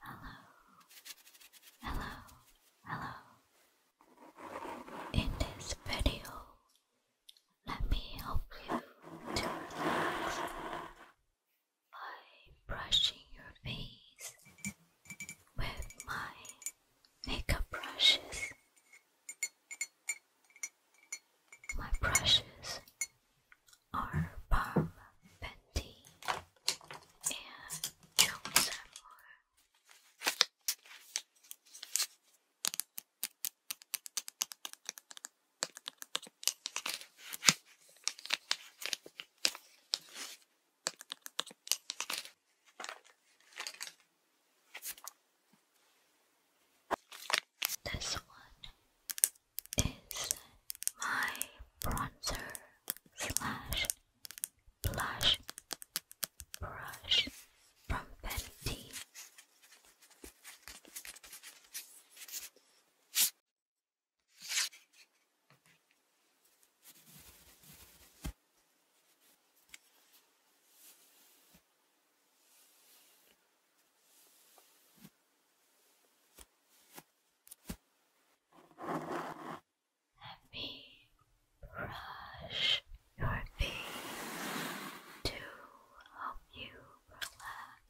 Hello, hello, hello. In this video, let me help you to relax by brushing your face with my makeup brushes. My brushes are Palm Bendy and Jones this one is my bronzer slash blush brush from Fenty. Let me brush your face to help you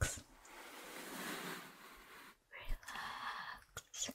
Relax. Relax.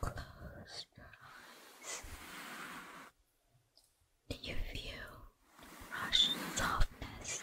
Close your eyes. Do you feel the brush softness?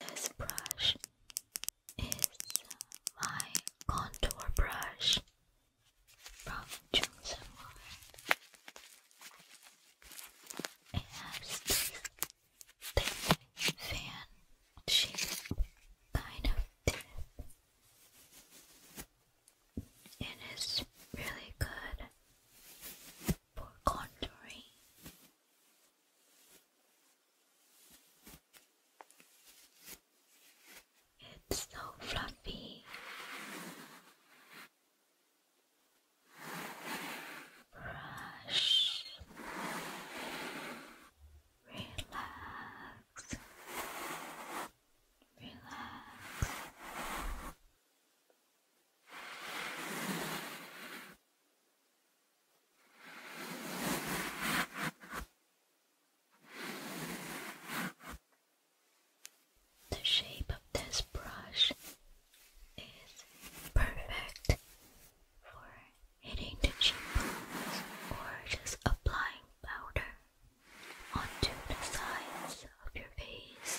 This brush is my contour brush from Johnson It has this fan shape kind of tip. It is really good for contouring. It's so fluffy. Brush. Relax. Relax. The shape of this brush is perfect for hitting the cheekbones or just applying powder onto the sides of your face.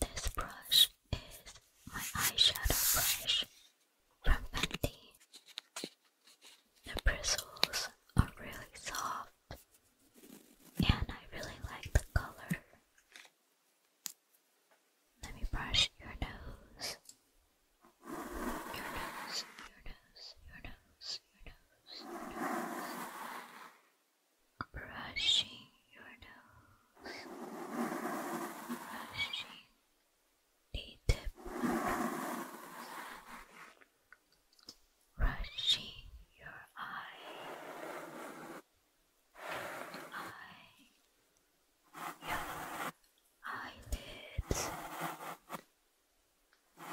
This brush is my eyeshadow brush from Fenty. The bristles are really soft and I really like the color. Let me brush your nose. Your nose, your nose, your nose, your nose, your nose. Brushing your nose. Brushing the tip your nose. Brushing your eye. Your eye. Your eyelids brush,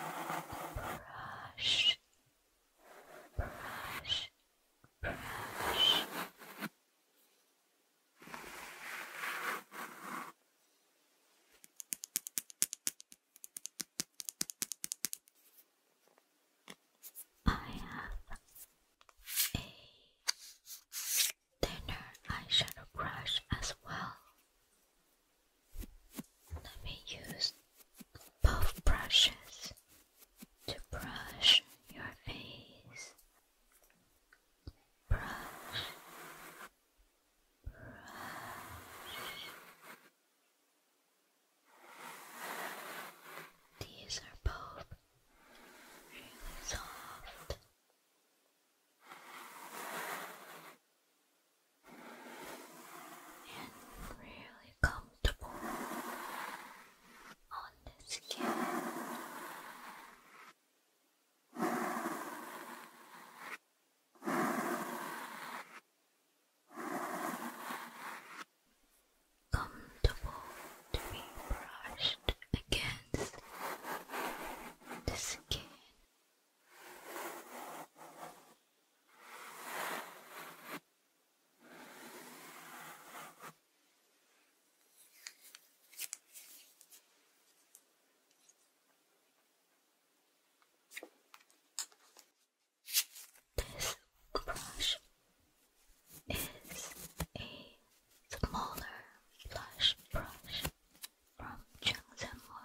brush, brush. I have a thinner eyeshadow brush as well. Let me use both brushes to brush your face. Brush, brush. These are both really soft and really comfortable on the skin. Comfortable to be brushed against the skin this brush is a smaller blush brush from Changshanhua.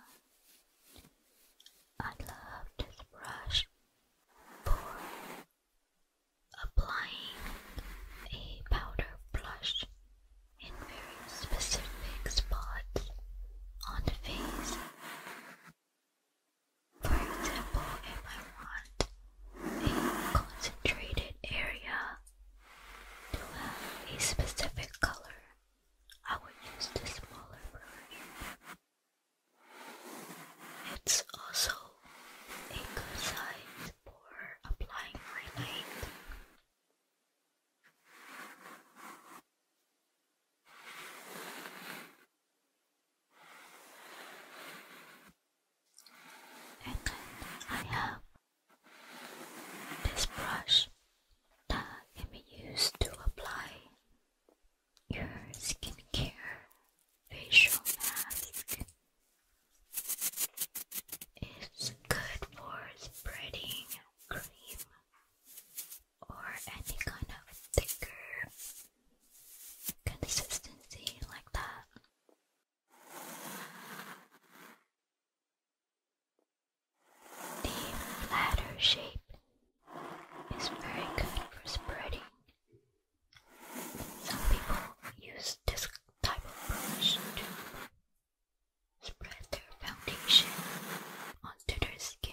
I love this brush for applying a powder blush in very specific spots on the face. For example, if I want a concentrated area to have a specific color, I will use the smaller brush. It's also a good size for applying my light. And I have this brush that can be used to apply your skincare facial mask. It's good for spreading cream or any kind of thicker consistency like that. The latter shape is very good for spreading. Some people use this type of brush to spread their foundation onto their skin.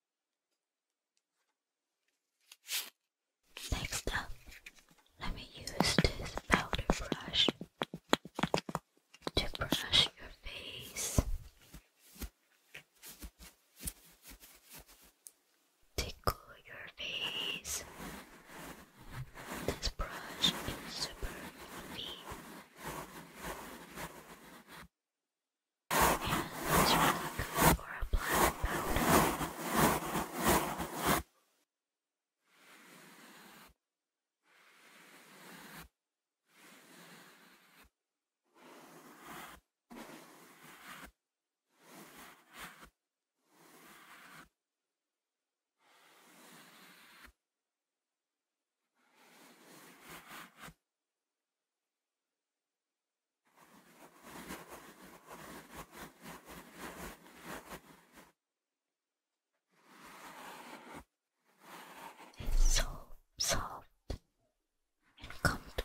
Next up, let me use this powder brush to brush your face. Tickle your face. This brush is super heavy. It's really good for a black powder. It's so soft and comfortable.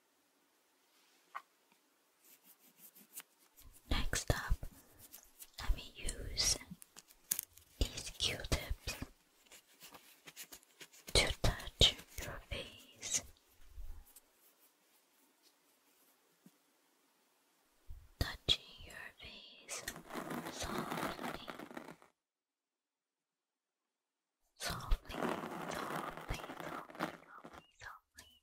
Next up, let me use these Q-tips to touch your face. Touching your face softly, softly, softly, softly, softly, softly.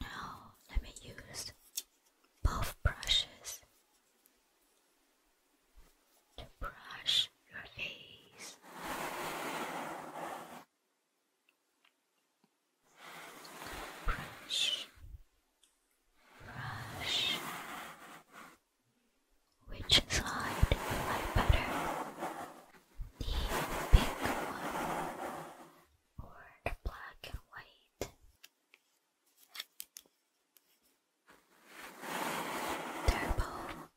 Now, let me use both brushes to brush your face brush, brush. Which side do you like better? The pink one or the black and white? they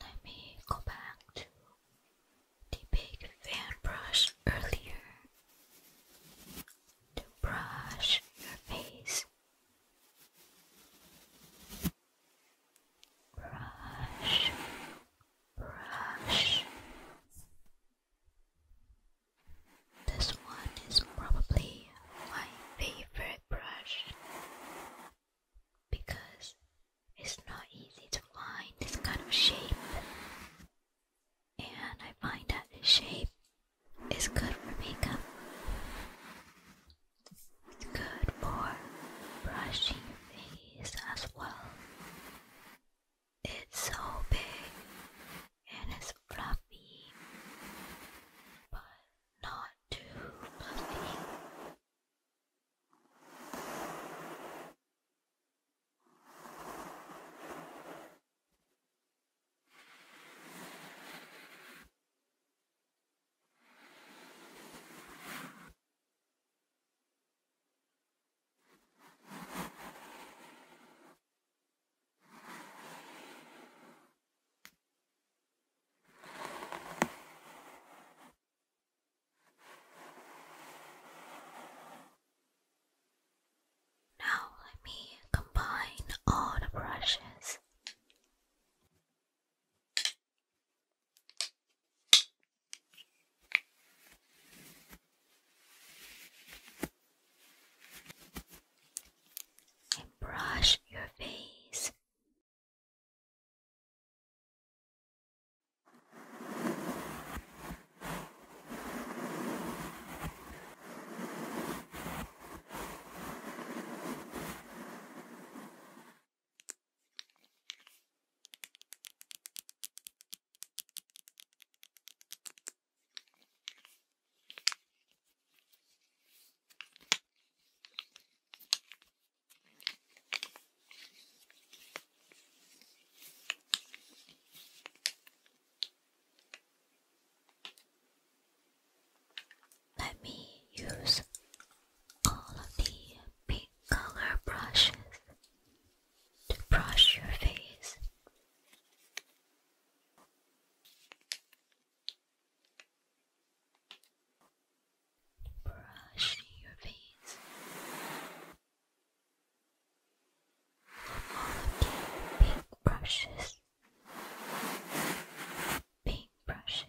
Let me go back to the big fan brush earlier to brush your face. Brush, brush. This one is probably my favorite brush because it's not easy to find this kind of shape, and I find that this shape is good for makeup. It's good for brushing your face as well. It's so big and it's fluffy, but not too fluffy. Now let me combine all the brushes and brush your face. Let me use all of the pink color brushes to brush your face. Brushing your face. All of these brushes. Pink brushes.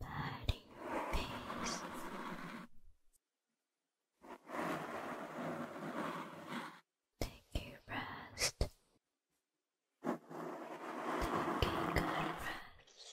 patting her face. Take your rest. Take a good rest.